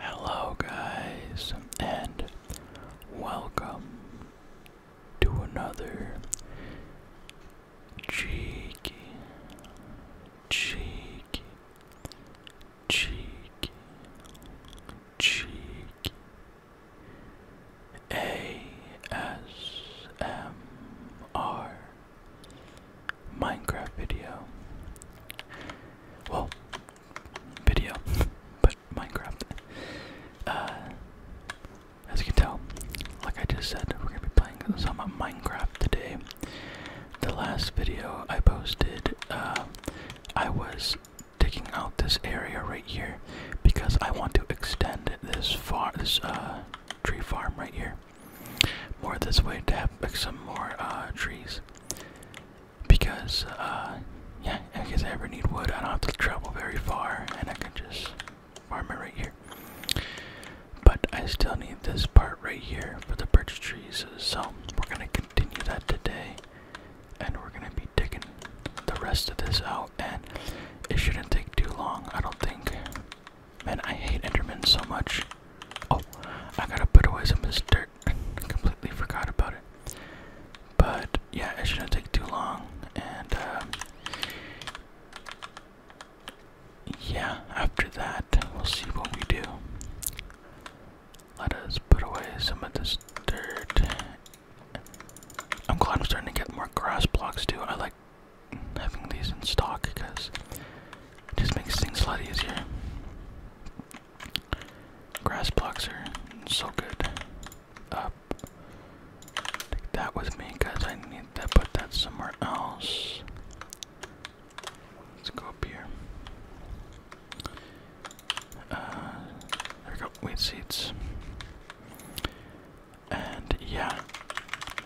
Hello, guys, and welcome to another cheeky, cheeky, cheeky, cheeky ASMR Minecraft video. Well, video, but Minecraft. Uh, as you can tell, like I just said, we're gonna be playing some Minecraft today. The last video I posted, uh, I was digging out this area right here because I want to extend this far, this uh, tree farm right here, more this way to have some more trees because, uh, yeah, in I ever need wood, I don't have to travel very far, and I can just farm it right here. But I still need this part right here for the birch trees, so we're gonna continue that today, and we're gonna be digging the rest of this out, and it shouldn't take too long, I don't think. Man, I hate Endermen so much. Oh, I gotta put away some of dirt completely forgot about it. But yeah, it shouldn't take too long. And um, yeah, after that, we'll see what we do. Let us put away some of this dirt. I'm glad I'm starting to get more grass blocks too. I like having these in stock because it just makes things a lot easier. Grass blocks are so good. Take that with me because I need to put that somewhere else. Let's go up here. Uh, there go. Wheat seeds. And yeah,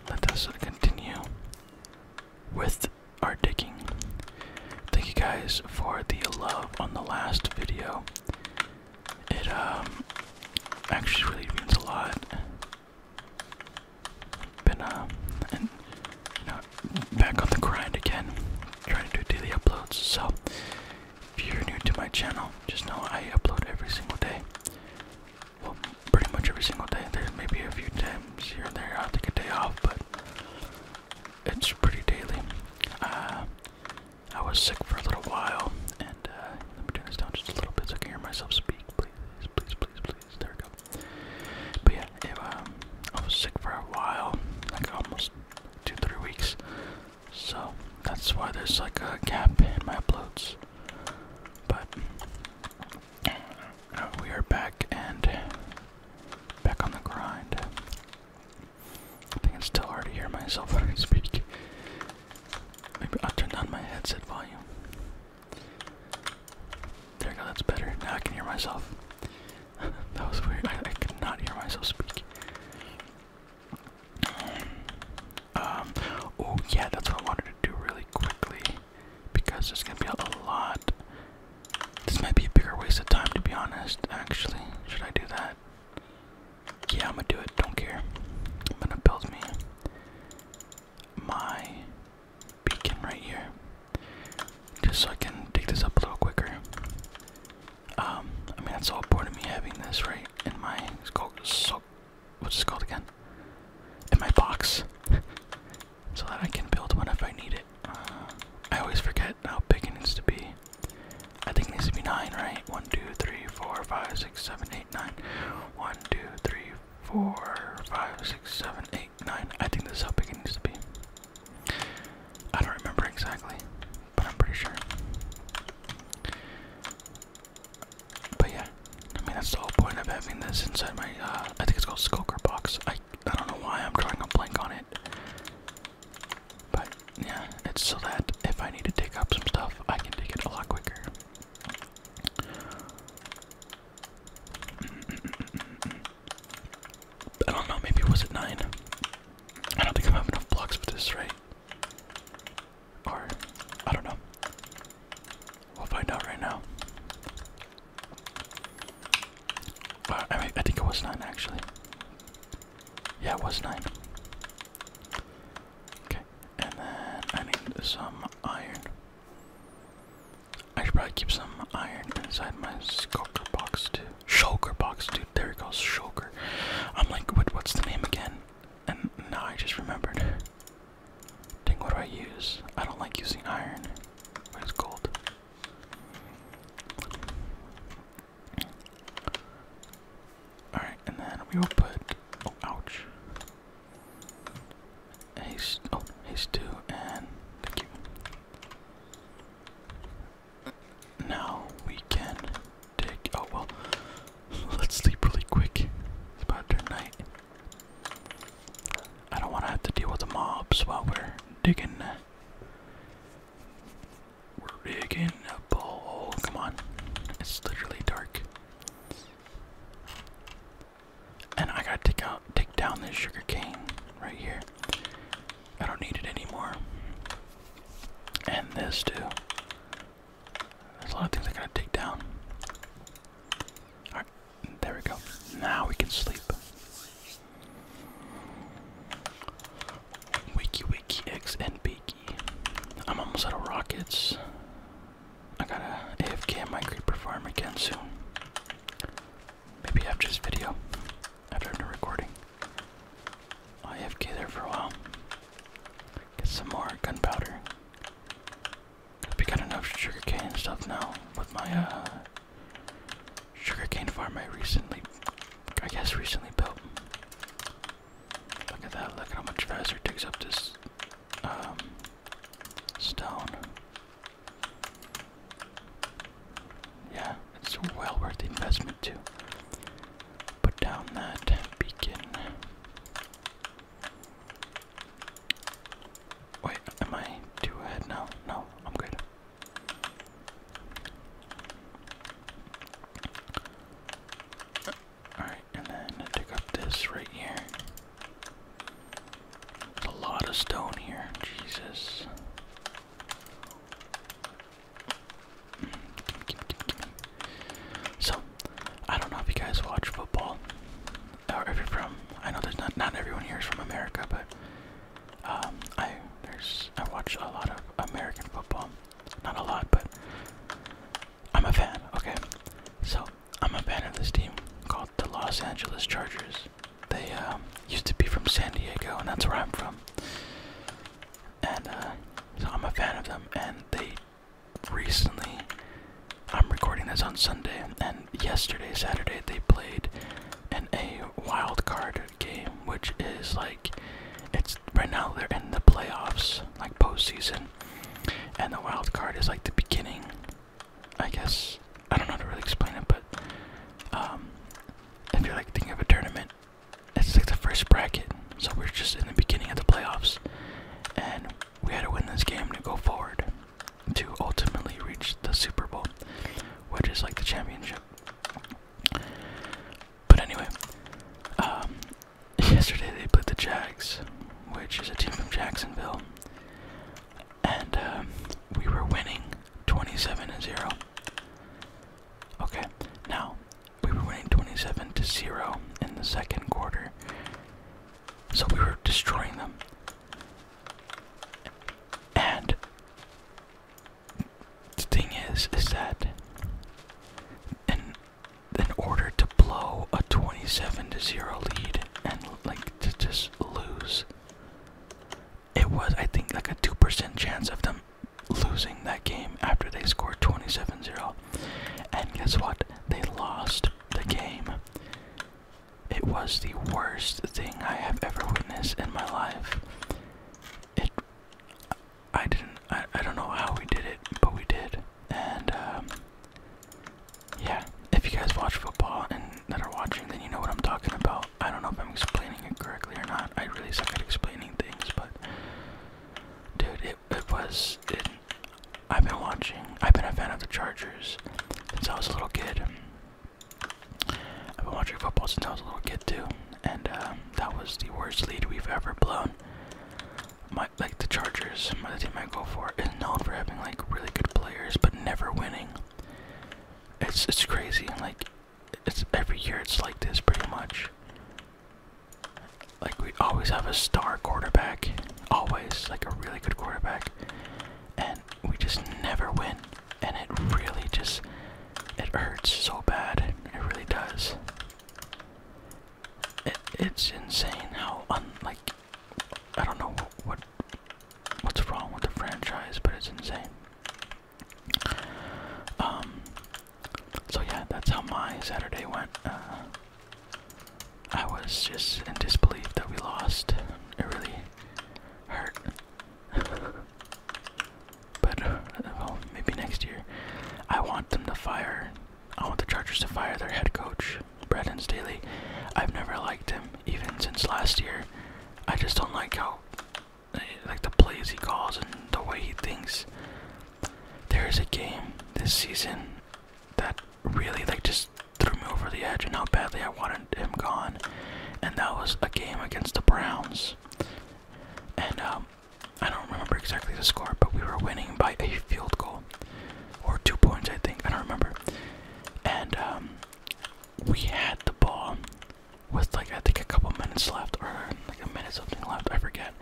let us continue with are digging. Thank you guys for the love on the last video. It um, actually really means a lot. Been uh, back on the grind again, trying to do daily uploads. So if you're new to my channel, just know I upload every single day. Well, pretty much every single day. There's maybe a few times here and there I'll take a day off, but it's pretty daily. Uh, I was sick for a little while, and uh, let me turn this down just a little bit so I can hear myself speak. Please, please, please, please. There we go. But yeah, um, I was sick for a while, like almost two, three weeks. So that's why there's like a gap in my uploads. But uh, we are back, and Back on the grind. I think it's still hard to hear myself when I speak. Maybe I'll turn down my headset volume. There you go, that's better. Now I can hear myself. that was weird. I, I could not hear myself speak. Um, oh yeah, that's what I wanted to do really quickly because there's gonna be a lot this might be a bigger waste of time, to be honest, actually. Should I do that? Yeah, I'm gonna do it. Don't care. I'm gonna build me my beacon right here. Just so I can dig this up a little quicker. Um, I mean, that's all part of me having this right in my. It's So, what's this called again? In my box. so that I can build one if I need it. Uh, I always forget how big it needs to be. I think it needs to be 9, right? 1, 2, I think this is how big it needs to be. I don't remember exactly, but I'm pretty sure. But yeah, I mean, that's the whole point of having this inside my, uh, I think it's called Skulker Box. I I don't know why I'm drawing a blank on it. But yeah, it's so that if I need to dig up some stuff, I can dig it a lot quicker. I don't know, maybe was at 9. I don't think I have enough blocks for this, right? Or, I don't know. We'll find out right now. Uh, I, think it was 9 actually. Yeah, it was 9. Okay, and then I need some iron. I should probably keep some iron inside my skulker box too. Shulker box, dude. There he goes, shulker. I'm like, what, what's the name again? And now I just remembered. Ding. what do I use? I don't like using iron. What is gold? Alright, and then we will put oh ouch. Haste oh haste two and thank you. Now we can dig. oh well let's sleep really quick. It's about to night. I don't wanna have to deal with the mobs while we're digging we're digging a ball. Come on. It's literally dark. And I gotta take out take down this sugar cane right here. I don't need it anymore. And this too. There's a lot of things I gotta take down. Alright, there we go. Now we can sleep. Wiki Wiki X I'm almost out of rockets. I gotta AFK my creeper farm again soon. Maybe after this video. After I'm done recording. i AFK there for a while. Get some more gunpowder. We got enough sugarcane and stuff now with my uh, Sugar cane farm I recently, I guess recently built. Look at that, look at how much faster it digs up this um, stone. Yeah, it's well worth the investment to put down that beacon. Wait, am I too ahead now? No, I'm good. Alright, and then pick up this right here. There's a lot of stone here, Jesus. So, I don't know if you guys watch football, or if you're from, I know there's not, not everyone here is from America, but um, I there's I watch a lot of American football, not a lot, but I'm a fan. Okay, so I'm a fan of this team called the Los Angeles Chargers. They um, used to be from San Diego, and that's where I'm from. And uh, so I'm a fan of them, and they recently. I'm recording this on Sunday, and yesterday, Saturday, they played in a wild card game, which is like it's right now they're in the playoffs, like postseason, and the wild card is like the beginning. I guess I don't know how to really explain it, but um, if you're like thinking of a tournament, it's like the first bracket. So we're just in the beginning of the playoffs, and we had to win this game to go forward to ultimately reach the Super Bowl, which is like the championship. But anyway, um, yesterday they played the Jags, which is a team from Jacksonville, and um, we were winning 27 0. Okay, now we were winning 27 0 in the second quarter, so we were destroying them. And the thing is, is that in, in order to blow a 27 to 0 lead and like to just lose, it was, I think, like a 2% chance of them losing that game after they scored 27 0. And guess what? They lost the game. It was the worst thing I have ever witnessed in my life it I didn't I, I don't know how we did it, but we did. And um, yeah, if you guys watch football and that are watching, then you know what I'm talking about. I don't know if I'm explaining it correctly or not. I really suck at explaining things, but dude, it it was it I've been watching. I've been a fan of the Chargers since I was a little kid. I've been watching football since I was a little kid too, and um, that was the worst lead we've ever blown. My, like the Chargers, my, the team I go for, is known for having like really good players but never winning. It's it's crazy. Like it's every year it's like this pretty much. Like we always have a star quarterback, always like a really good quarterback, and we just never win. And it really just it hurts so bad. It really does. it's insane how unlike I don't know what what's wrong with the franchise, but it's insane. Um. So yeah, that's how my Saturday went. Uh, I was just in disbelief that we lost. It really hurt. but uh, well, maybe next year. I want them to fire. I want the Chargers to fire their head coach, Brendan Staley. I've never liked him, even since last year. I just don't like how, eh, like the plays he calls and the way he thinks. There is a game this season that really like just threw me over the edge, and how badly I wanted him gone, and that was a game against the Browns. And um, I don't remember exactly the score, but we were winning by a field goal or two points, I think. I don't remember. And um, we had the ball with like I think a couple minutes left, or like a minute something left. I forget.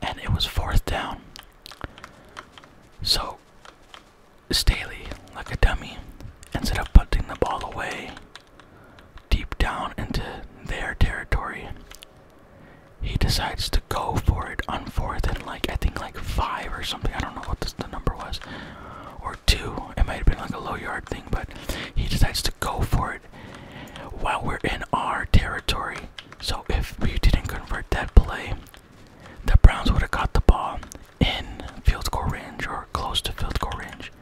And it was fourth down. So Staley, like a dummy, ended up punting the ball away deep down into their territory. He decides to go for it on fourth and like I think like five or something. I don't know what the number was, or two. It might have been like a low yard thing, but he decides to go for it while we're in our territory. So if we didn't convert that play, the Browns would have got the ball in field goal range or close to field goal range,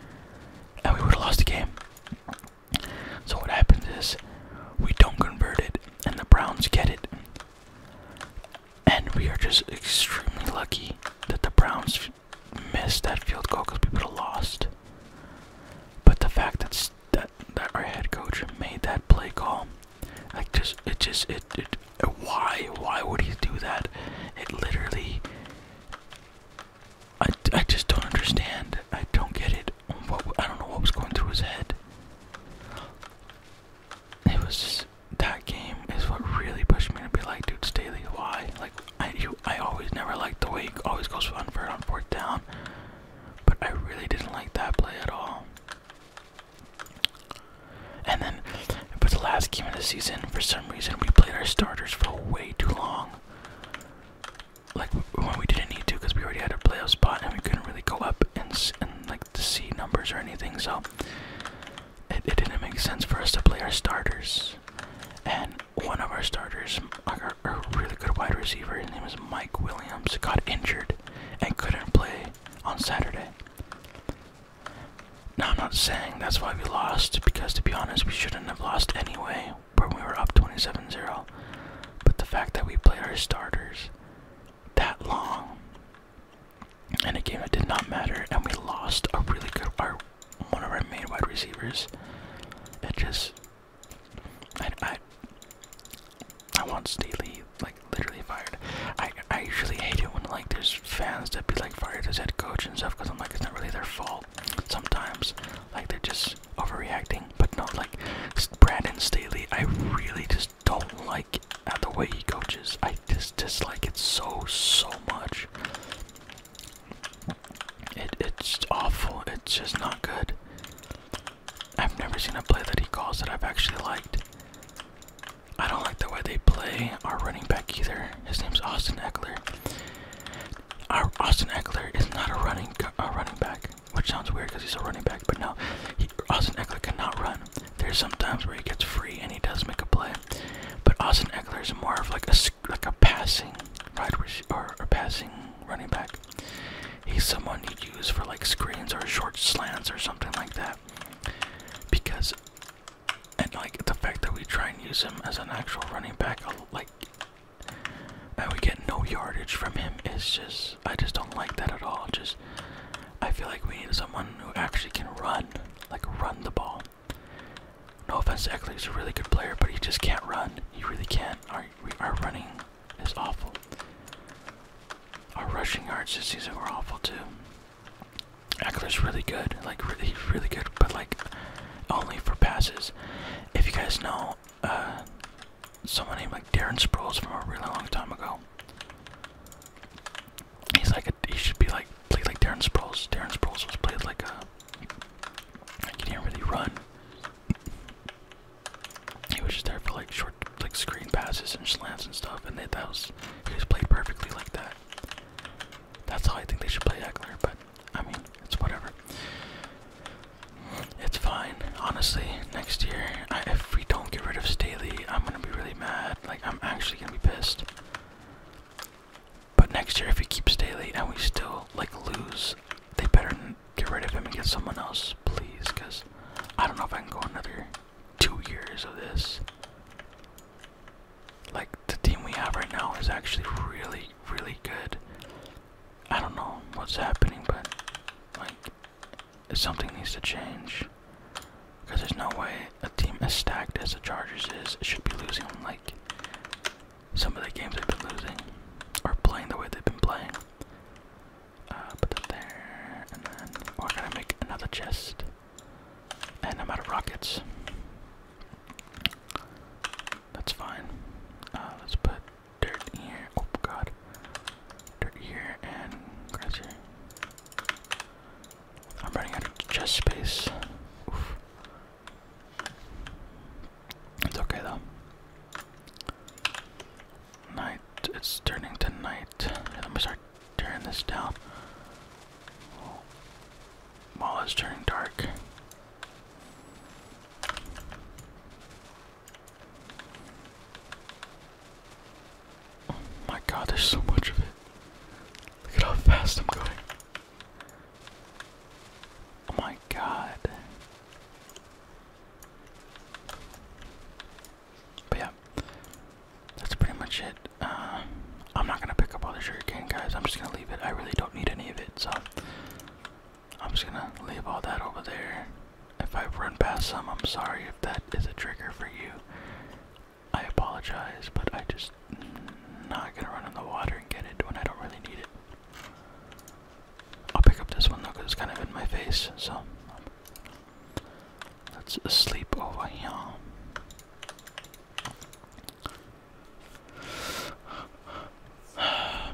and we would have lost the game. So what happens is we don't convert it, and the Browns get it, and we are just extremely lucky that the Browns missed that field goal because we would have lost. But the fact that that our head coach made that play call, like just it just it, it why why would he do that? It literally I, I just don't understand. I don't get it. I don't know what was going through his head. It was just that game is what really pushed me to be like, dude, Staley, why? Like, I you, I always never liked the way he always goes for unfair on fourth down, but I really didn't like that play at all. And then but the last game of the season, for some reason, we played our starters for way too long. Like when we didn't need to, because we already had a playoff spot and we couldn't really go up and like see numbers or anything. So it, didn't make sense for us to play our starters. And one of our starters, our, our really good wide receiver, his name is Mike Williams, got injured and couldn't play on Saturday. Now, I'm not saying that's why we lost, because to be honest, we shouldn't have lost anyway when we were up 27 0. But the fact that we played our starters that long in a game that did not matter and we lost a really good our, one of our main wide receivers, it just. I, I, I want Staley like literally fired. I I usually hate it when like there's fans that be like fired as head coach and stuff because I'm like it's not really their fault sometimes. Like they're just overreacting, but not like Brandon Staley. I really just don't like the way he coaches. I just dislike it so so much. it's awful. It's just not good. I've never seen a play that he calls that I've actually liked. I don't like the way they play our running back either. His name's Austin Eckler. Austin Eckler is not a running running back, which sounds weird because he's a running back, but no, he, Austin Eckler cannot run. There's some times where he gets free and he does make a play, but Austin Eckler is more of like a like a passing wide or a passing running back. He's someone you use for like screens or short slants or something like that, because and like the fact that we try and use him as an actual running back, like, and we get no yardage from him is just, I just don't like that at all. Just, I feel like we need someone who actually can run, like run the ball. No offense to Eckler, he's a really good player, but he just can't run. He really can't. Our, our running is awful. Our rushing yards this season were awful too. Eckler's really good, like really, really good, but like only for passes. If you guys know uh, someone named like Darren Sproles from a really long time ago, he's like he should be like played like Darren Sproles. Darren Sproles was played like uh, a he didn't really run. He was just there for like short, like screen passes and slants and stuff, and they, that was he was played perfectly like that. That's how I think they should play Eckler, but I mean, it's whatever. It's fine. Honestly, next year, if we don't get rid of Staley, I'm gonna be really mad. Like, I'm actually gonna be pissed. But next year, if we keep Staley and we still, like, lose, they better get rid of him and get someone else, please, because I don't know if I can go another two years of this. Like the team we have right now is actually really, really good. I don't know what's happening, but like something needs to change. Because there's no way a team as stacked as the Chargers is should be losing like some of the games they've been losing are playing the way they've been playing. Uh, put that there, and then we're oh, gonna make another chest. And I'm out of rockets. That's fine. Uh, let's put dirt here. Oh god. Dirt here and grass here. I'm running out of chest space. It's okay though. Night. It's turning to night. I'm gonna start tearing this down. Mall is turning dark. Oh my god, there's so much of it. Look at how fast I'm going. Oh my god. But yeah, that's pretty much it. Uh, I'm not gonna pick up all the sugar cane, guys. I'm just gonna leave it. I really don't need any of it, so I'm just gonna leave all that over there. If I've run past some, I'm sorry if that is a trigger for you. I apologize, but I just mm, not gonna run in the water and get it when I don't really need it. I'll pick up this one though, cause it's kind of in my face. So let's sleep over here.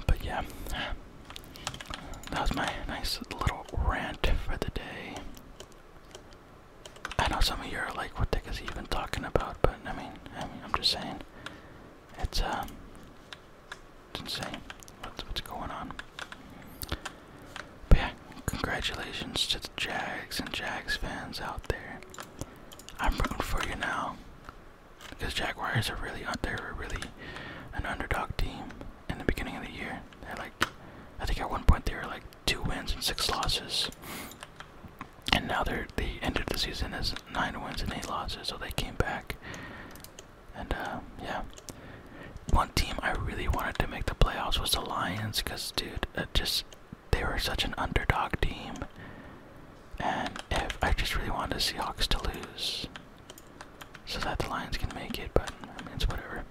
But yeah, that was my nice little rant for the day. I know some of you are like, what the is he even talking about? But I mean, I am just saying, it's um, it's insane what's what's going on. But yeah, congratulations to the Jags and Jags fans out there. I'm rooting for you now. Because Jaguars are really out there, really an underdog team in the beginning of the year. They're like, I think at one point they were like two wins and six losses, and now they're the end of the season is nine wins and eight losses. So they came back, and uh, yeah. One team I really wanted to make the playoffs was the Lions, cause dude, uh, just they were such an underdog team. And if I just really wanted the Seahawks to lose so that the Lions can make it, but it's whatever.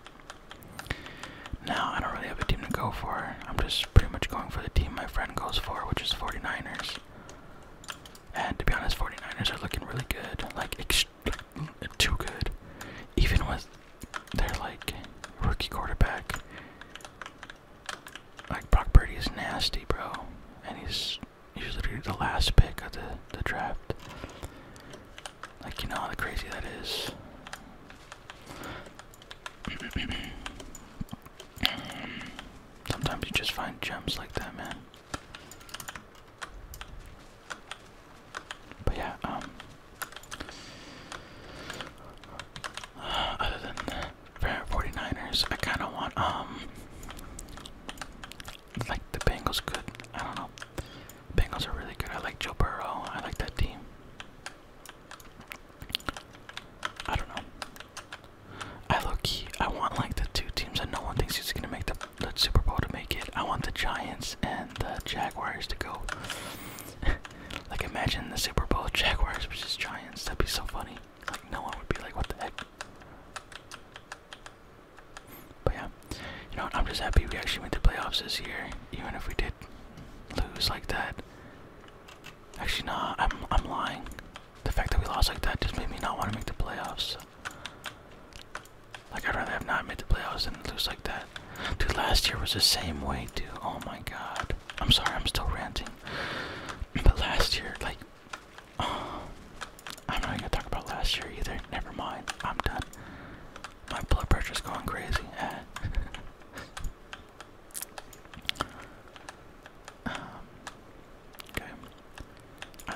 Now, I don't really have a team to go for. I'm just pretty much going for the team my friend goes for, which is 49ers. And to be honest, 49ers are looking really good. Like, too good. Even with their, like, rookie quarterback, like Brock Purdy is nasty, bro, and he's he's literally the last pick of the the draft. Like you know how crazy that is. Sometimes you just find gems like that, man. But yeah, um, other than that, 49ers. I kind of want, um, like the Bengals good. I don't know. Bengals are really good. I like Joe Burrow. I like that team. I don't know. I low key, I want like the two teams that no one thinks is gonna make the, the Super Bowl to make it. I want the Giants and the Jaguars to go. Like imagine the Super Bowl Jaguars versus Giants. That'd be so funny. Like no one would be like, what the heck? But yeah, you know what? I'm just happy we actually went to playoffs this year, even if we did lose like that. Actually, no, I'm I'm lying. The fact that we lost like that just made me not want to make the playoffs. Like I'd rather have not made the playoffs and lose like that. Dude, last year was the same way, dude. Oh my god. I'm sorry, I'm still ranting. But last year, like, oh, I'm not gonna talk about last year either. Never mind. I'm done. My blood pressure's going crazy. Um, okay.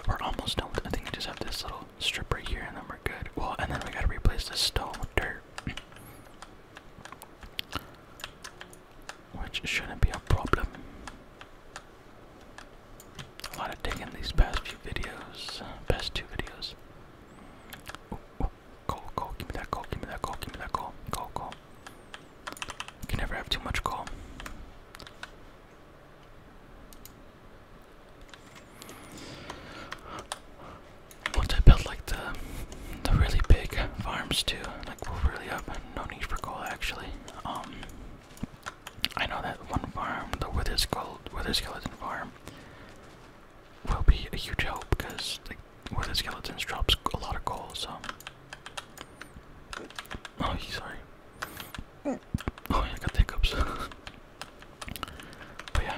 we're almost done. I think we just have this little strip right here, and then we're good. Well, and then we gotta replace this stone dirt. Which shouldn't be a problem. A lot of digging these past few videos, past two videos. coal, coal, give me that coal, give me that coal, give me that coal, coal, coal. You can never have too much coal. Once to build like the the really big farms too, like we'll really have no need for coal actually. Um, I know that one farm, the Wither Skeleton farm, will be a huge help because like Wither Skeletons drops a lot of coal. So, oh, sorry. Oh, I got the but yeah,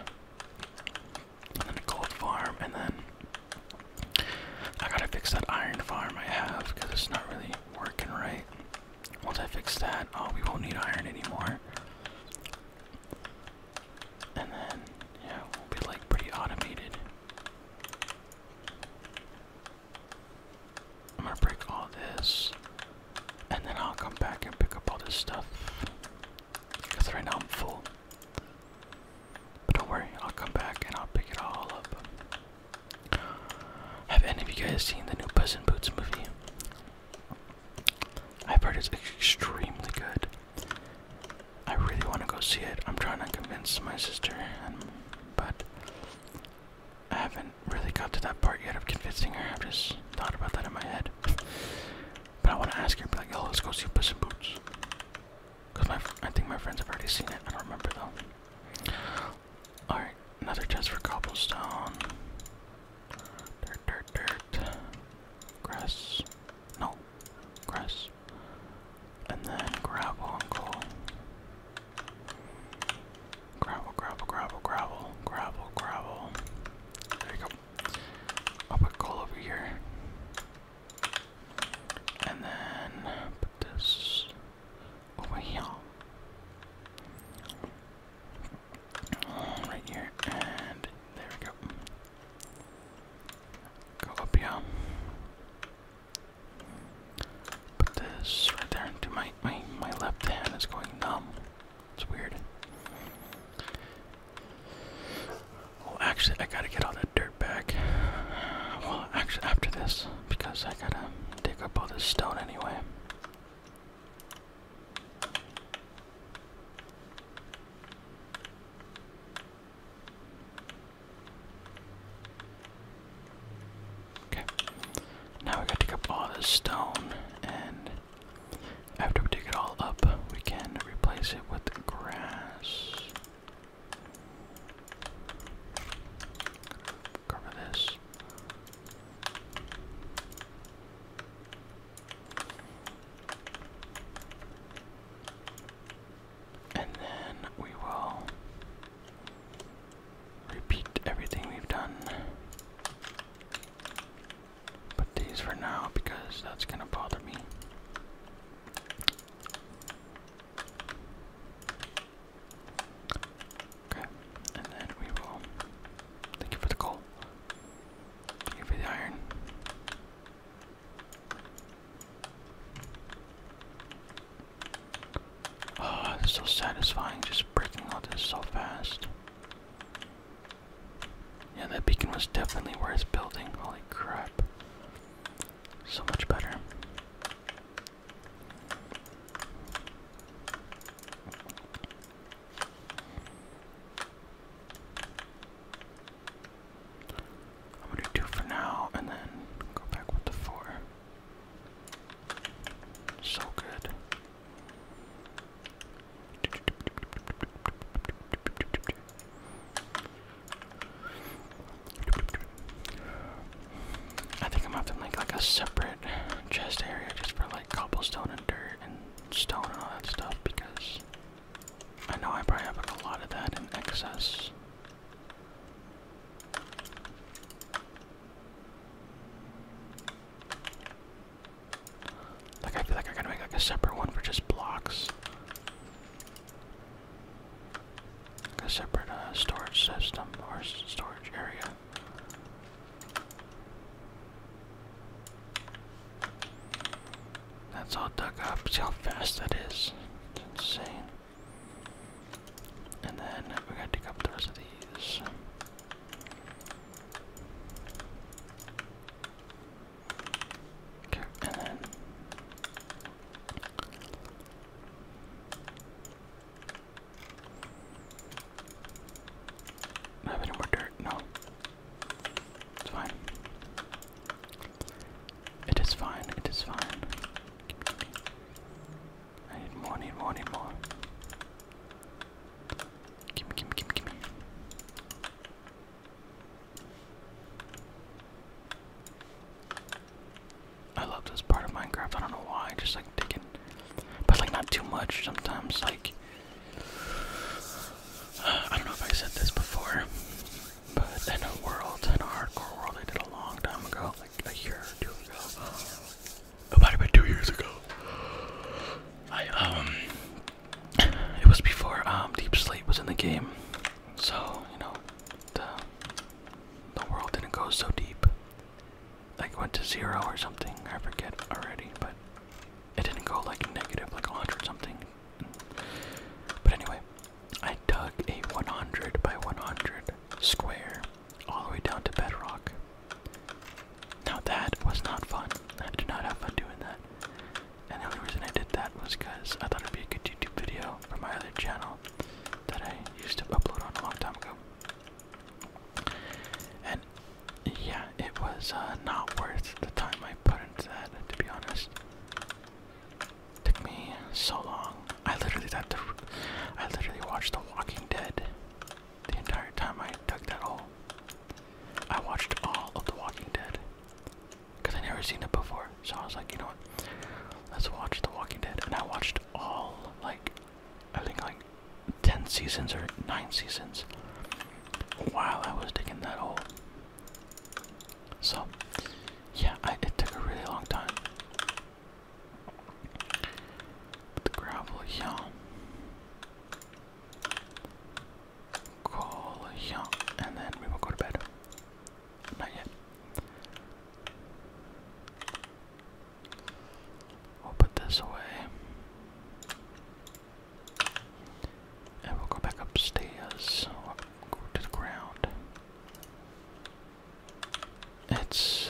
and then a gold farm, and then I gotta fix that iron farm I have because it's not really working right. Once I fix that, oh, we won't need iron anymore. And then, yeah, we'll be like pretty automated. I'm gonna break all this, and then I'll come back and pick up all this stuff. Because right now I'm full. But don't worry, I'll come back and I'll pick it all up. Have any of you guys seen the new Puss and Boots movie? I've heard it's extremely good. I really want to go see it. I'm trying to convince my sister, but I haven't really got to that part yet of convincing her. I've just thought about that in my head. But I want to ask her, be like, "Yo, let's go see Puss and Boots." Cause my I think my friends have already seen it. I don't remember though. All right, another chest for cobblestone. Dirt, dirt, dirt. Grass. No, grass. And then gravel and coal. Gravel, gravel, gravel, gravel, gravel, gravel. There you go. I'll put coal over here. And then put this over here. Right here, and there we go. Go up here. Put this right there into my, my my left hand is going numb. It's weird. Well, actually, I gotta get all that dirt back. Well, actually, after this, because I gotta dig up all this stone anyway. Okay. Now we gotta dig up all this stone, and after we dig it all up, we can replace it with grass. Cover this. And then we will repeat everything we've done. Put these for now because that's gonna bother me. Okay, and then we will. Thank you for the coal. Thank you iron. Oh, ah, it's so satisfying just breaking all this so fast. Yeah, that beacon was definitely worth building. Holy crap. So much better. I'm gonna do for now and then go back with the four. So good. I think I'm gonna make like a separate chest area just for like cobblestone and dirt and stone and all that stuff because I know I probably have like, a lot of that in excess. Like I feel like I gotta make like a separate one for just blocks a separate uh, storage system or storage area. That's all dug up. See how fast that is. insane. And then we gotta dig up the rest of these. Okay, and have any more dirt? No. It's fine. It is fine, it is fine. I need more, need more, need more. gimme, gimme, gimme. I love this part of Minecraft. I don't know why. Just like digging, but like not too much. Sometimes like I don't know if I said this before, but in a world, in a hardcore world, I did a long time ago, like a year or two ago. It might been two years ago. I um, it was before um Deep Slate was in the game, so, you know, the the world didn't go so deep. Like went to zero or something, I forget already, but it didn't go like negative, like a hundred something. But anyway, I dug a 100 by 100 square all the way down to bedrock. Now that was not fun. I did not have fun doing that. And the only reason I did that was because I thought it'd be a good YouTube video for my other channel that I used to upload on a long time ago. And yeah, it was uh, not worth the time I put into that, to be honest. took me so long. I literally had to. I literally watched The Walking Dead the entire time I dug that hole. I watched all of The Walking Dead because I never seen it before. So I was like, you know what? Let's watch The Walking Dead, and I watched all like I think like ten seasons or nine seasons while I was digging that hole. So yeah, I, it took a really long time. But the gravel, yeah. Cool, yeah. And then we will go to bed. Not yet. We'll put this away. And we'll go back upstairs. we to the ground. It's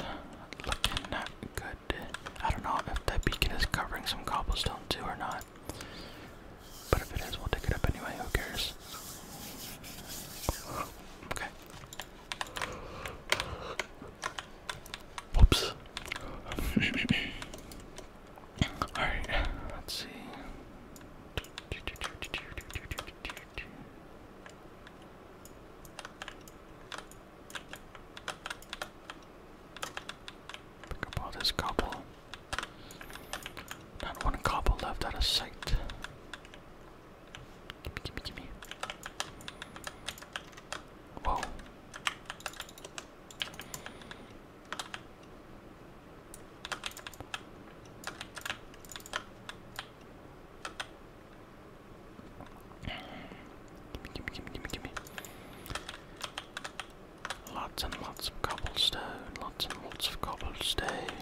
looking not good. I don't know if that beacon is covering some cobblestone too or not. But if it is, we'll pick it up anyway. Who cares? Okay. Whoops. Alright, let's see. Pick up all this cobble. Not one cobble left out of sight. Gimme, gimme, gimme. Whoa. gimme, gimme, gimme, gimme. Lots and lots of cobblestone, lots and lots of cobblestone.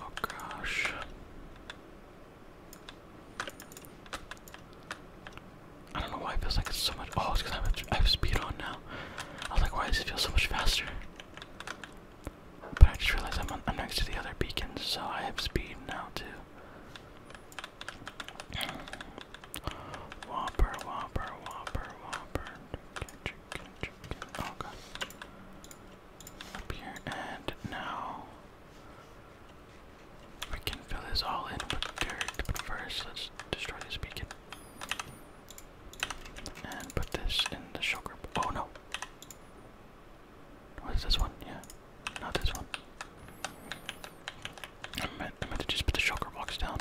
Oh gosh. I don't know why it feels like it's so much. Oh, it's because I, have speed on now. I was like, why does it feel so much faster? But I just realized I'm, on, i next to the other beacons, so I have speed now too. Whopper, whopper, whopper, whopper. Chicken, chicken, chicken. Oh god. Up here, and now we can fill this all in with dirt. But first, let's destroy this beacon. And put this in the show Oh no. What is this one? Yeah. Not this one. I meant, I meant to just put the shocker box down.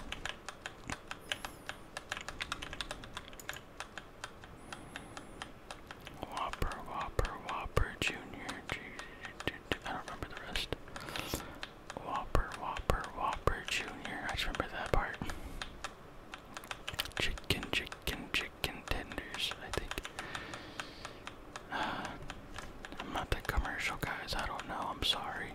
Whopper, Whopper, Whopper Junior. I don't remember the rest. Whopper, Whopper, Whopper Junior. I just remember that part. Chicken, chicken, chicken tenders. I think. I'm not the commercial guys, I don't know, I'm sorry.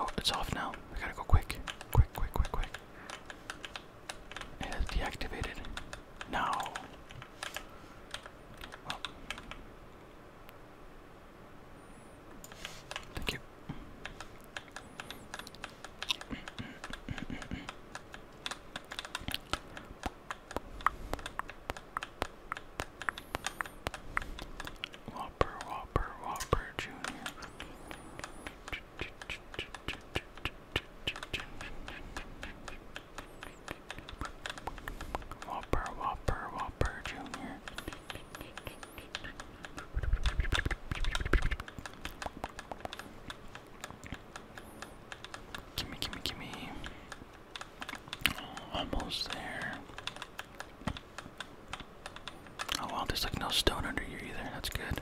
Oh, it's off now. We gotta go quick. Quick, quick, quick, quick. It is deactivated. Now. Thank you. Whopper, Whopper, Whopper Junior. Whopper, Whopper, Whopper Junior. Gimme, gimme, gimme. Oh, almost there. Oh wow, there's like no stone under here either. That's good.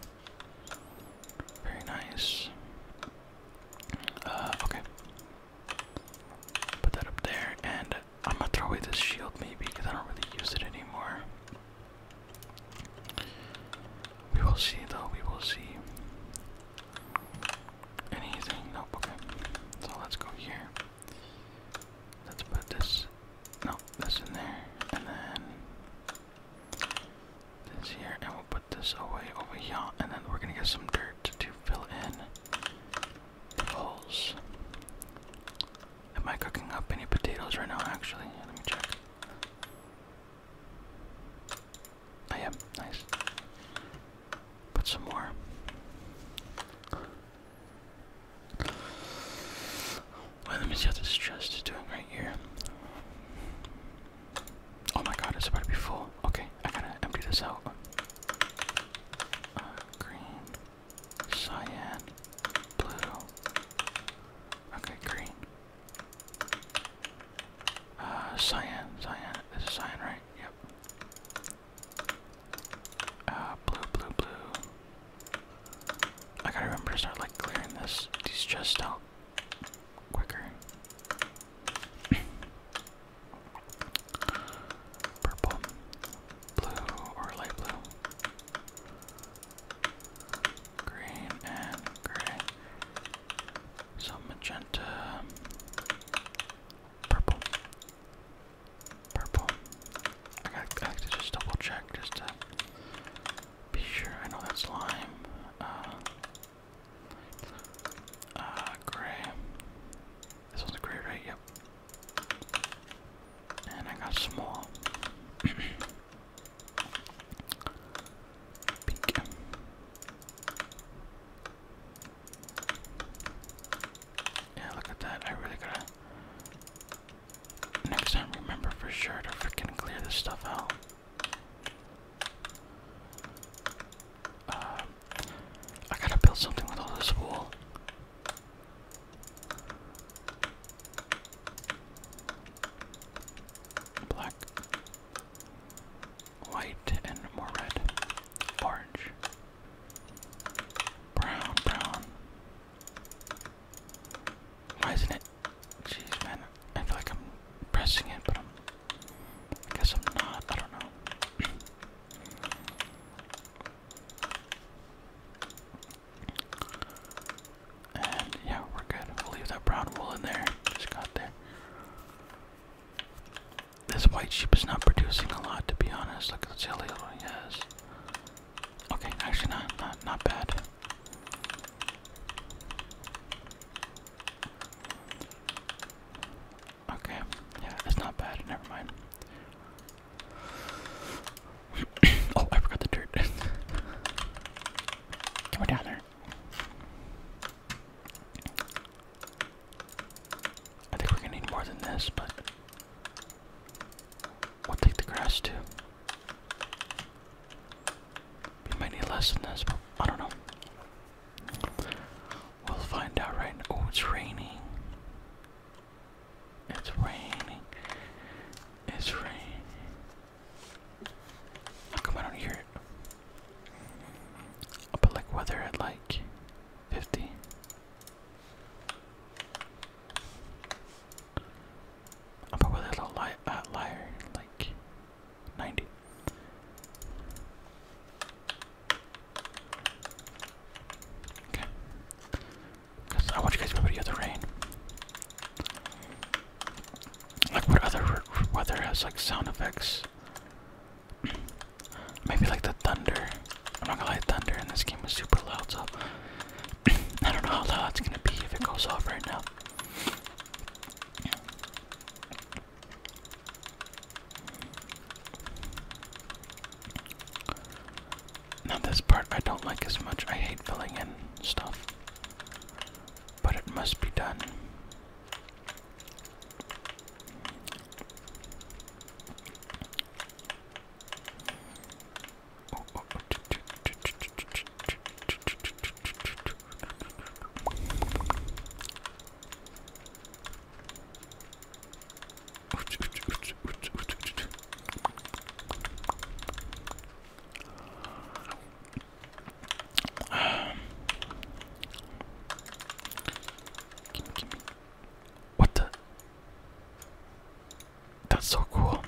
Very nice. Uh, okay. Put that up there and I'm gonna throw away this shield maybe because I don't really use it anymore. We will see though, we will see. Anything? Nope, So let's go here. Let's put this, no, in there, and then this here, and we'll put this away over here, and then we're gonna get some dirt to fill in the holes. Am I cooking up any potatoes right now, actually? let me check. I oh, am. Nice. Put some more. Well, let me see what this chest is doing right here. Oh my god, it's about to be full. Okay, I gotta empty this out. Uh, Cyan, Pluto. Okay, green. Uh, cyan, cyan. This is cyan, right? Yep. Uh, blue, blue, blue. I gotta remember to start like clearing this these chests out quicker. Purple blue or light blue, green and gray, some magenta, purple, purple. I, got, to just double check just to be sure. I know that's lime. Uh, uh gray. This one's gray, right? Yep. And I got some more. Yeah, look at that. I really gotta. Next time, remember for sure to freaking clear this stuff out. Um, I gotta build something with all this wool. Black, white, and more red. Orange, brown, brown. Why isn't it? Jeez, man, I feel like I'm pressing it, but I'm. I guess I'm not. I don't know. And yeah, we're good. We'll leave that brown wool in there. Just got there. This white sheep is not producing a lot, to be honest. Look at the silly yes. Okay, actually not not not bad. Okay, yeah, it's not bad. Never mind. oh, I forgot the dirt. Come on down there. I think we're gonna need more than this, but we'll take the grass too. We might need less than this, but I don't know. We'll find out right now. Oh, it's raining. It's raining. It's raining. How come I don't hear it? I'll put like weather at like 50. I'll put weather a li uh, liar, like 90. Okay. Cause I want you guys to remember the rain. Like what other weather has like sound effects? Maybe like the thunder. I'm not gonna lie, thunder and this game is super loud, so I don't know how loud it's gonna be if it goes off right now. Now this part I don't like as much. I hate filling in stuff. But it must be done. What the? That's so cool.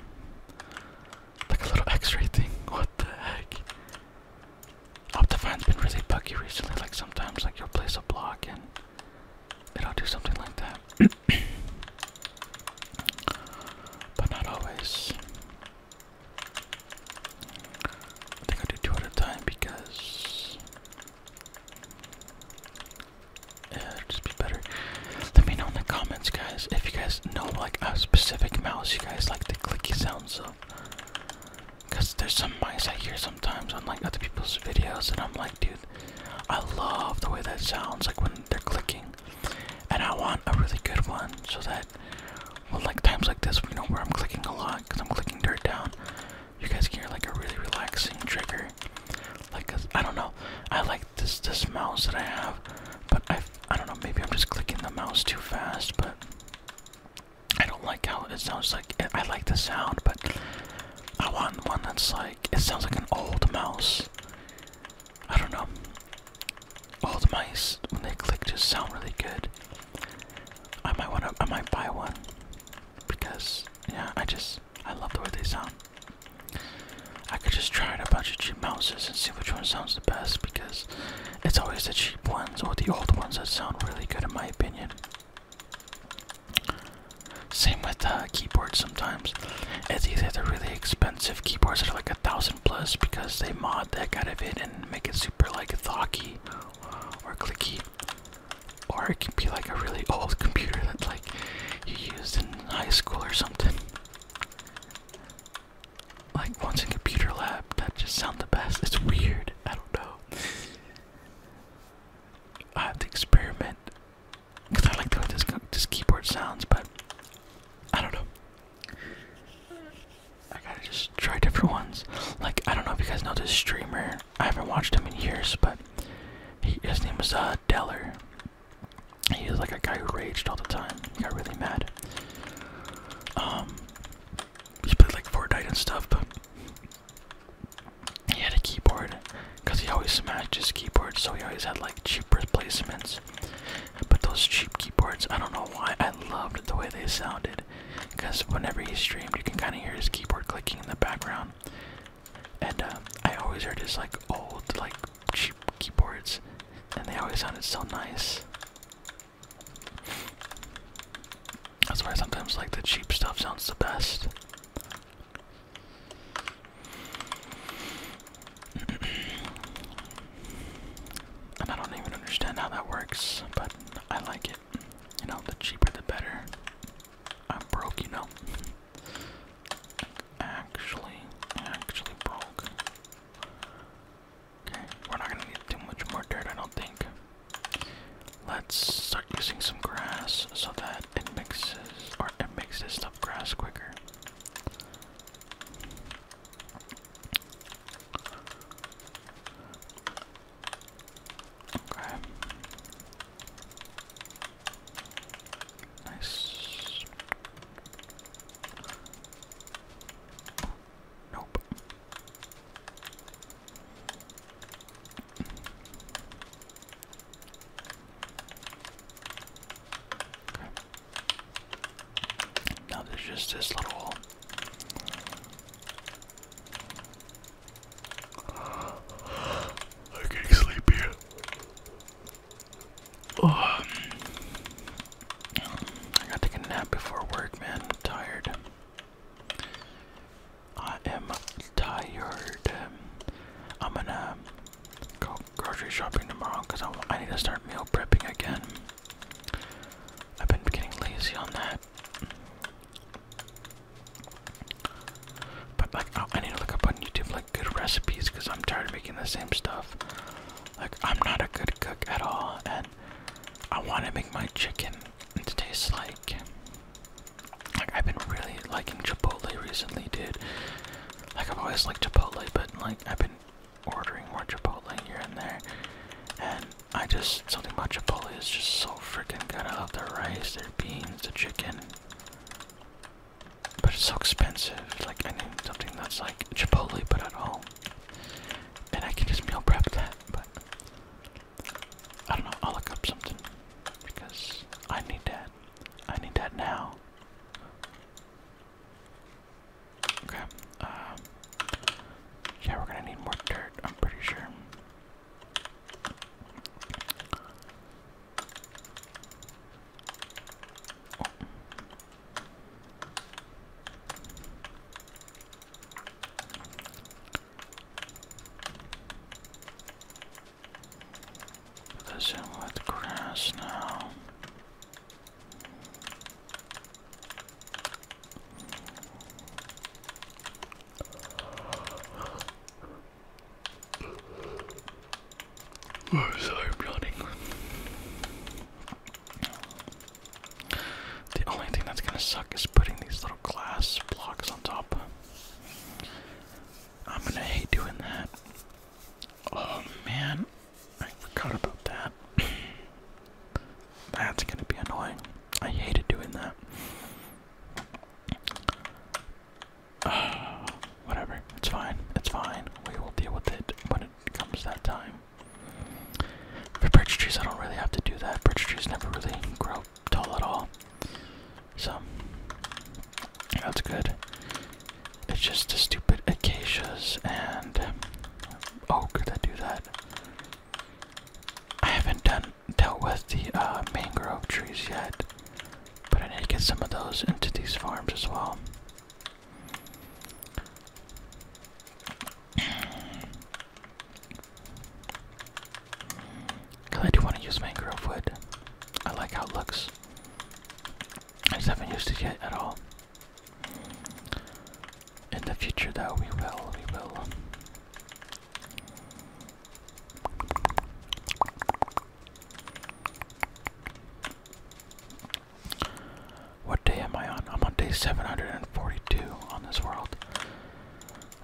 Like a little x-ray thing. What the heck? Optifine's been really buggy recently. Like sometimes like you'll place a block and it'll do something like that. but not always. I think I do two at a time because yeah, it'll just be better. Let me know in the comments, guys, if you guys know like a specific mouse you guys like the clicky sounds of. Cause there's some mice I hear sometimes on like other people's videos, and I'm like dude. I love the way that sounds like when they're clicking. And I want a really good one so that like times like this, you know, where I'm clicking a lot because I'm clicking dirt down, you guys hear like a really relaxing trigger. Like I I don't know. I like this this mouse that I have, but I I don't know, maybe I'm just clicking the mouse too fast, but I don't like how it sounds like I like the sound, but I want one that's like it sounds like an old mouse. I don't know. All the mice when they click just sound really good. I might wanna I might buy one because yeah, I just I love the way they sound. I could just try out a bunch of cheap mouses and see which one sounds the best because it's always the cheap ones or the old ones that sound really good in my opinion. Same with uh, keyboards sometimes. It's either the really expensive keyboards that are like a thousand plus because they mod that heck out of it and make it super like thocky or clicky. Or it can be like a really old computer that like you used in high school or something. Like once in computer lab, that just sound the best. It's weird. I don't know. I have to experiment. Because I like the way this, this keyboard sounds, but I don't know. I gotta just try different ones. Like, I don't know if you guys know this streamer. I haven't watched him in years, but he, his name is uh, Deller. He was like a guy who raged all the time. He got really mad. Um, he played like Fortnite and stuff, but he had a keyboard because he always smashed his keyboard, so he always had like cheap replacements. But those cheap keyboards, I don't know why, I loved the way they sounded. Because whenever he streamed, you can kind of hear his keyboard clicking in the background. And uh, I always heard his like old, like cheap keyboards, and they always sounded so nice. That's why sometimes like the cheap stuff sounds the best. I don't even understand how that works, but I like it. You know, the cheaper the better. I'm broke, you know. Actually, actually broke. Okay, we're not gonna need too much more dirt, I don't think. Let's start using some grass so that it mixes or it makes this stuff grass quicker. Okay. Nice. Nope. Now there's just this little I'm getting sleepy. Oh. Um, I gotta take a nap before work, man. tired. I am tired. Um, I'm gonna go grocery shopping tomorrow because I, need to start meal prepping again. I've been getting lazy on that. But like, oh, I need to look up on YouTube like good recipes because I'm tired of making the same stuff. Like, I'm not a good cook at all, and I want to make my chicken to taste like I've been really liking Chipotle recently, dude. Like I've always liked Chipotle, but like I've been ordering more Chipotle here and there, and I just something about Chipotle is just so freaking good. I love their rice, their beans, the chicken. But it's so expensive. Like I need something that's like Chipotle but at home. And I can just meal prep that, but I don't know, I'll look up something. Because I need that. I need that now. Okay. Um, yeah, we're gonna need more dirt, I'm pretty sure. Oh. Put this in with grass now. Oh, sorry, blooding. The only thing that's gonna suck is putting these little glass blocks on top. I'm gonna hate doing that. Oh man, I forgot about that. That's gonna be annoying. I hated doing that. whatever, it's fine, it's fine. We will deal with it when it comes that time. For birch trees, I don't really have to do that. Birch trees never really grow tall at all. So that's good. It's just the stupid acacias and um, oak that do that. I haven't done dealt with the uh, mangrove trees yet, but I need to get some of those into these farms as well. Cause I do want to use mangrove wood. I like how it looks. I just haven't used it yet at all. In the future, though, we will, we will. What day am I on? I'm on day 742 on this world.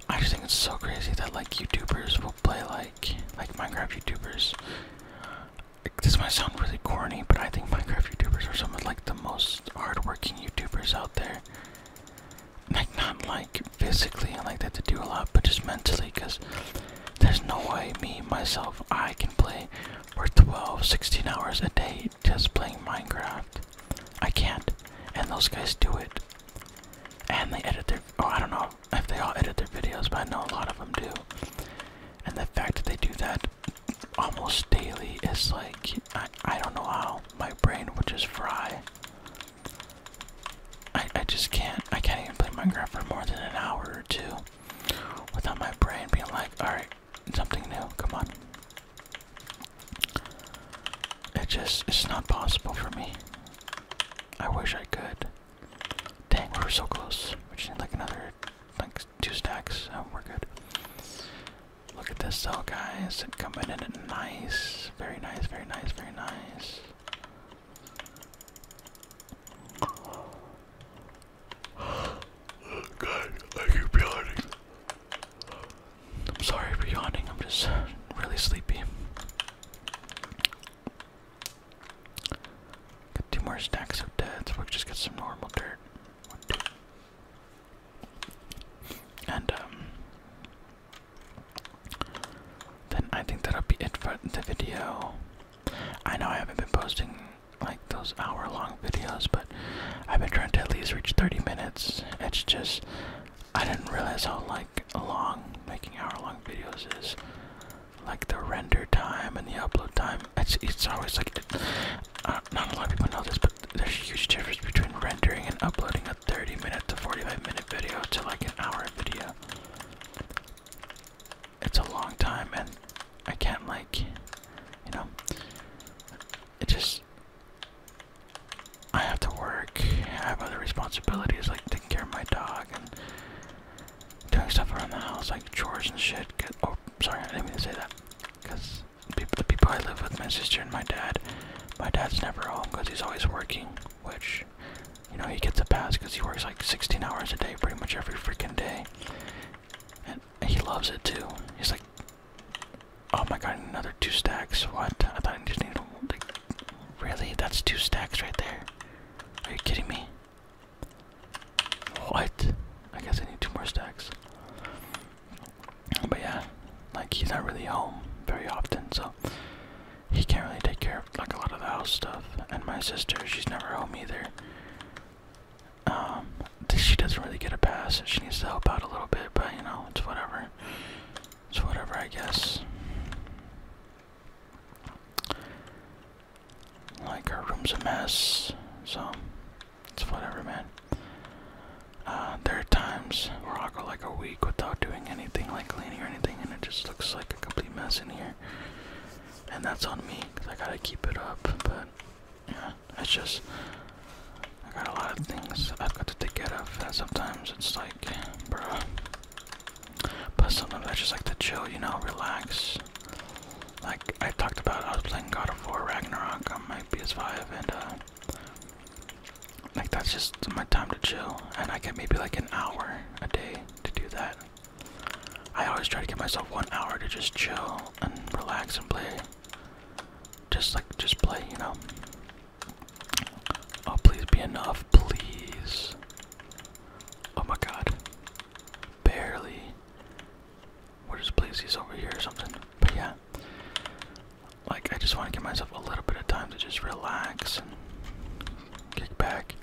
I just think it's so crazy that, like, YouTubers will play, like, like Minecraft YouTubers. This might sound really corny, but I think Minecraft YouTubers are some of like the most hardworking YouTubers out there. Like not like physically, I like they have to do a lot, but just mentally, because there's no way me myself I can play for 12, 16 hours a day just playing Minecraft. I can't, and those guys do it, and they edit their. Oh, I don't know if they all edit their videos, but I know a lot of them do. And the fact that they do that almost daily is like, I, don't know how my brain would just fry. I, I just can't, I can't even play Minecraft for more than an hour or two without my brain being like, alright, something new, come on. It just, it's not possible for me. I wish I could. Dang, we are so close. We just need like another, like two stacks. Oh, we're good. Look at this cell, guys. It coming in it nice. Very nice, very nice, very nice. God, I keep yawning. I'm sorry for yawning, I'm just really sleepy. Got two more stacks of dead, so we've just got some normal dirt. And, um, then I think that'll be it for the video. I know I haven't been posting like those hour long videos, but I've been trying to at least reach 30 minutes. It's just, I didn't realize how like long making hour long videos is like the render time and the upload time. It's it's always like uh, not a lot of people know this, but there's a huge difference between rendering and uploading a 30 minute to 45 minute video to like an hour video. It's a long time, and I can't like, you know, it just. I have to work. I have other responsibilities like taking care of my dog and doing stuff around the house, like chores and shit. Oh, sorry, I didn't mean to say that. Because the people I live with, my sister and my dad, my dad's never home because he's always working, which, you know, he gets a pass because he works like 16 hours a day pretty much every freaking day. And he loves it too. He's like, oh my god, another two stacks. What? I thought I just needed, like, really? That's two stacks right there. Are you kidding me? What? I guess I need two more stacks. But yeah, like he's not really home very often, so he can't really take care of like a lot of the house stuff. And my sister, she's never home either. Um, she doesn't really get a pass. She needs to help out a little bit, but you know, it's whatever. It's whatever, I guess. Like, our room's a mess, so it's whatever, man. Uh, there are times where I'll go like a week without doing anything, like cleaning or anything, and it just looks like a complete mess in here. And that's on me, I gotta keep it up, but yeah, it's just. I got a lot of things I've got to take care of, and sometimes it's like, bro. But sometimes I just like to chill, you know, relax. Like I talked about, I was playing God of War Ragnarok on my PS5, and uh, like that's just my time to chill. And I get maybe like an hour a day to do that. I always try to give myself one hour to just chill and relax and play. Just like, just play, you know. Oh, please be enough, please. Oh my god. Barely. We're just over here or something. But yeah. Like, I just want to give myself a little bit of time to just relax kick back.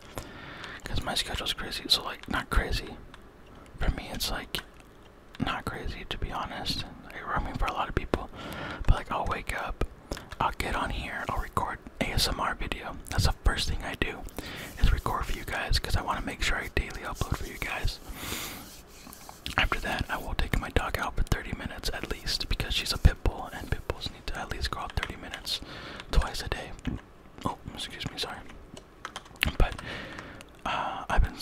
Because my schedule's crazy. So, like, not crazy. For me, it's like not crazy, to be honest. I mean, for a lot of people. But, like, I'll wake up, I'll get on here, I'll record ASMR video. That's the first thing I do is record for you guys because I want to make sure I daily upload for you guys. After that, I will take my dog out for 30 minutes at least because she's a pit bull and pit bulls need to at least go out 30 minutes twice a day. Oh, excuse me, sorry. But uh, I've been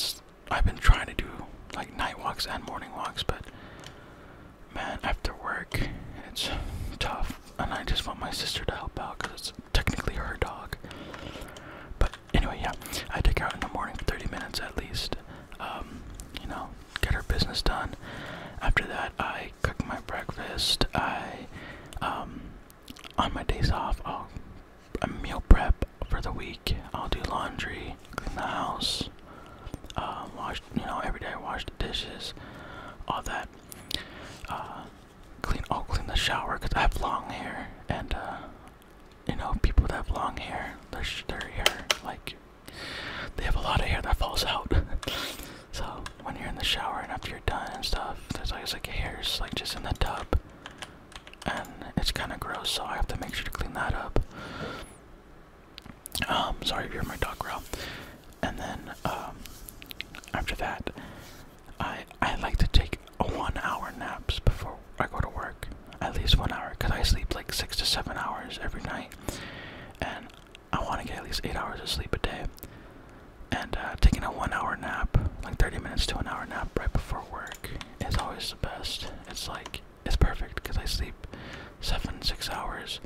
I've been trying to do like night walks and morning walks, but man, after work, it's tough and I just want my sister to help out because it's technically her dog. But anyway, yeah, I take her out in the morning for 30 minutes at least. Um, you know, get her business done. After that, I cook my breakfast. I, um, on my days off, I'll meal prep for the week. I'll do laundry, clean the house, uh, wash, you know, every day I wash the dishes, all that. Uh, clean. I'll oh, clean the shower because I have long hair, and uh, you know, people that have long hair, their their hair like they have a lot of hair that falls out. so when you're in the shower and after you're done and stuff, there's always like hairs like just in the tub, and it's kind of gross. So I have to make sure to clean that up. Um, sorry if you're my dog growl and then um, after that, I I like to take a one-hour nap before I go to work. At least one hour, cause I sleep like six to seven hours every night, and I want to get at least eight hours of sleep a day. And uh, taking a one-hour nap, like 30 minutes to an hour nap right before work, is always the best. It's like it's perfect because I sleep seven, six hours,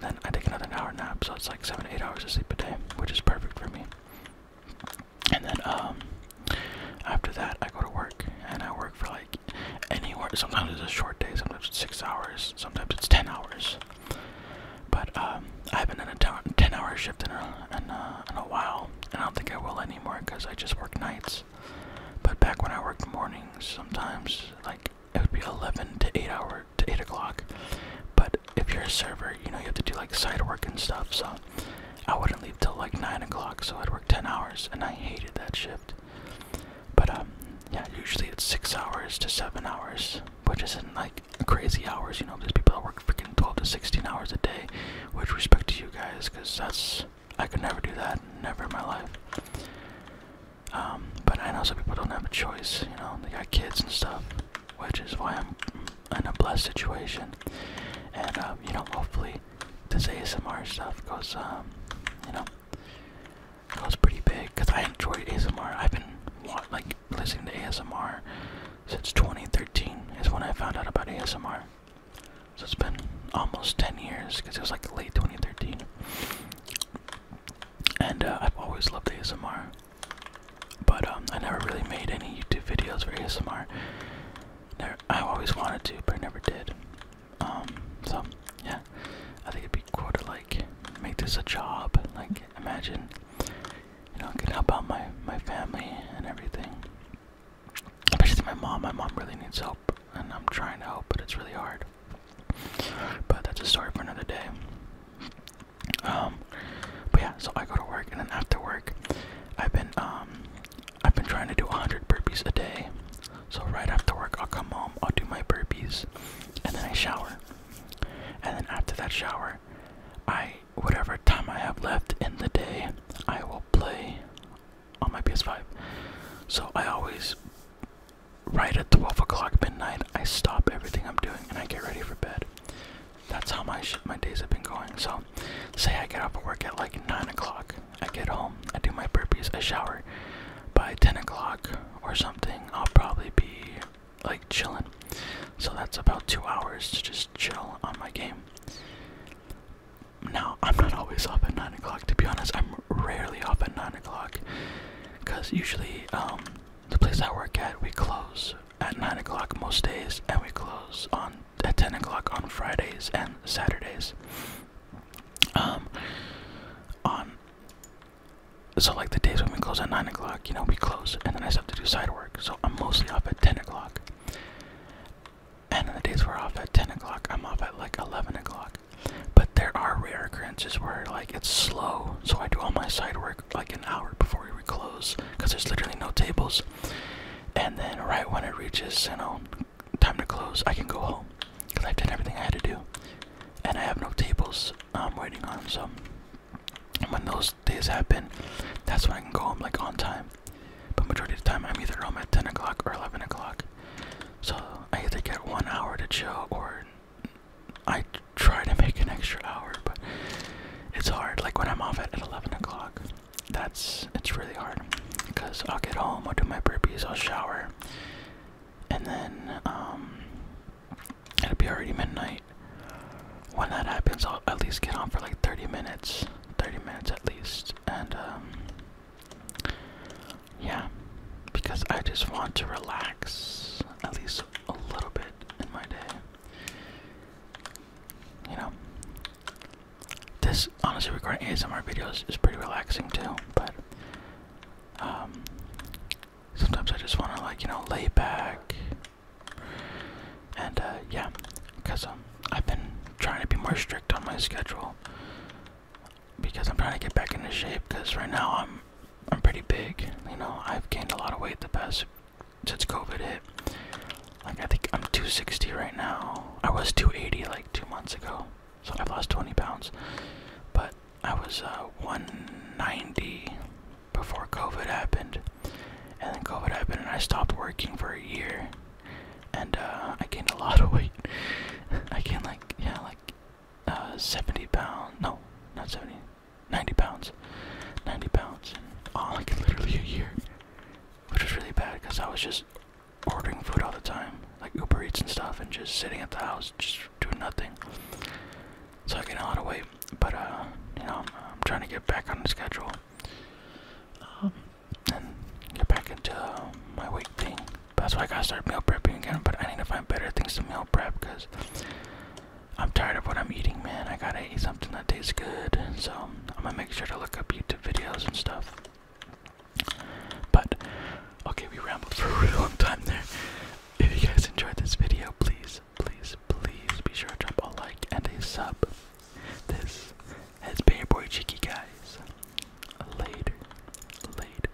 then I take another hour nap, so it's like seven, eight hours of sleep a day, which is perfect for me. And then um, after that, I go to work, and I work for like anywhere. Sometimes it's a short day, sometimes it's six hours, sometimes it's ten hours. But um, I haven't done a ten-hour shift in a while, and I don't think I will anymore because I just work nights. But back when I worked mornings, sometimes like it would be 11 to 8 hour to 8 o'clock but if you're a server you know you have to do like side work and stuff so i wouldn't leave till like 9 o'clock so i'd work 10 hours and i hated that shift but um, yeah usually it's 6 hours to 7 hours which isn't like crazy hours you know there's people that work freaking 12 to 16 hours a day which respect to you guys because that's i could never do that never in my life um, but I know some people don't have a choice, you know, they got kids and stuff, which is why I'm in a blessed situation. And, uh, you know, hopefully this ASMR stuff goes, um, you know, goes pretty big, because I enjoy ASMR. I've been, like, listening to ASMR since 2013 is when I found out about ASMR. So it's been almost 10 years, because it was, like, late 2013. And, uh, I've always loved ASMR. But um, I never really made any YouTube videos for ASMR. I always wanted to, but I never did. Um, so yeah, I think it'd be cool to like make this a job. Like, imagine, you know, I could help out my my family and everything. Especially my mom. My mom really needs help, and I'm trying to help, but it's really hard. But that's a story for another day. Um, but yeah, so I go to work, and then after work, I've been um, I've been trying to do 100 burpees a day. So right after work, I'll come home, I'll do my burpees, and then I shower. And then after that shower, I whatever time I have left in the day, I will play on my PS5. So I always right at 12 o'clock midnight, I stop everything I'm doing and I get ready for bed. That's how my, my days have been going. So, say I get off work at like 9 o'clock, I get home, I do my burpees, I shower. By 10 o'clock or something, I'll probably be like chilling. So, that's about two hours to just chill on my game. Now, I'm not always up at 9 o'clock, to be honest. I'm rarely up at 9 o'clock because usually, um, the place I work at, we close at 9 o'clock most days, and we close on at 10 o'clock on Fridays and Saturdays. Um, on so like the days when we close at 9 o'clock, you know, we close, and then I still have to do side work, so I'm mostly off at 10 o'clock. And the days we're off at 10 o'clock, I'm off at like 11 o'clock. But there are rare occurrences where like it's slow, so I do all my side work like an hour before we would close, because there's literally no tables. And then right when it reaches, you know, time to close, I can go home, because I've done everything I had to do, and I have no tables I'm um, waiting on. So when those days happen, that's when I can go home like on time. But majority of the time, I'm either home at 10 o'clock or 11 o'clock. So I either get one hour to chill or I try to make an extra hour, but it's hard. Like when I'm off at, 11 o'clock, that's it's really hard because I'll get home, I'll do my burpees, I'll shower, and then um, it'll be already midnight. When that happens, I'll at least get on for like 30 minutes, 30 minutes at least, and um, yeah, because I just want to relax at least a little bit in my day. You know, this honestly recording ASMR videos is pretty relaxing too, but um, sometimes I just want to like you know lay back and uh, yeah, because um, I've been trying to be more strict on my schedule because I'm trying to get back into shape. Because right now I'm I'm pretty big. You know, I've gained a lot of weight the past since COVID hit. Like I think I'm 260 right now. I was 280 like two months ago, so I've lost 20 pounds. But I was uh, 190 before COVID happened, and then COVID happened, and I stopped working for a year, and uh, I gained a lot of weight. I gained like yeah, like uh, 70 pounds. No, not 70. 90 pounds. 90 pounds and all, I could literally a year. Which was really bad because I was just ordering food all the time, like Uber Eats and stuff, and just sitting at the house, just doing nothing. So I gained a lot of weight, but uh, you know, I'm, trying to get back on the schedule um, and get back into um, my weight thing. That's why I gotta start meal prepping again, but I need to find better things to meal prep because I'm tired of what I'm eating, man. I gotta eat something that tastes good. So I'm gonna make sure to look up YouTube videos and stuff. But okay, we rambled for a really long time there. If you guys enjoyed this video, please, please, please be sure to drop a like and a sub. This has been your boy Cheeky guys. Later, later.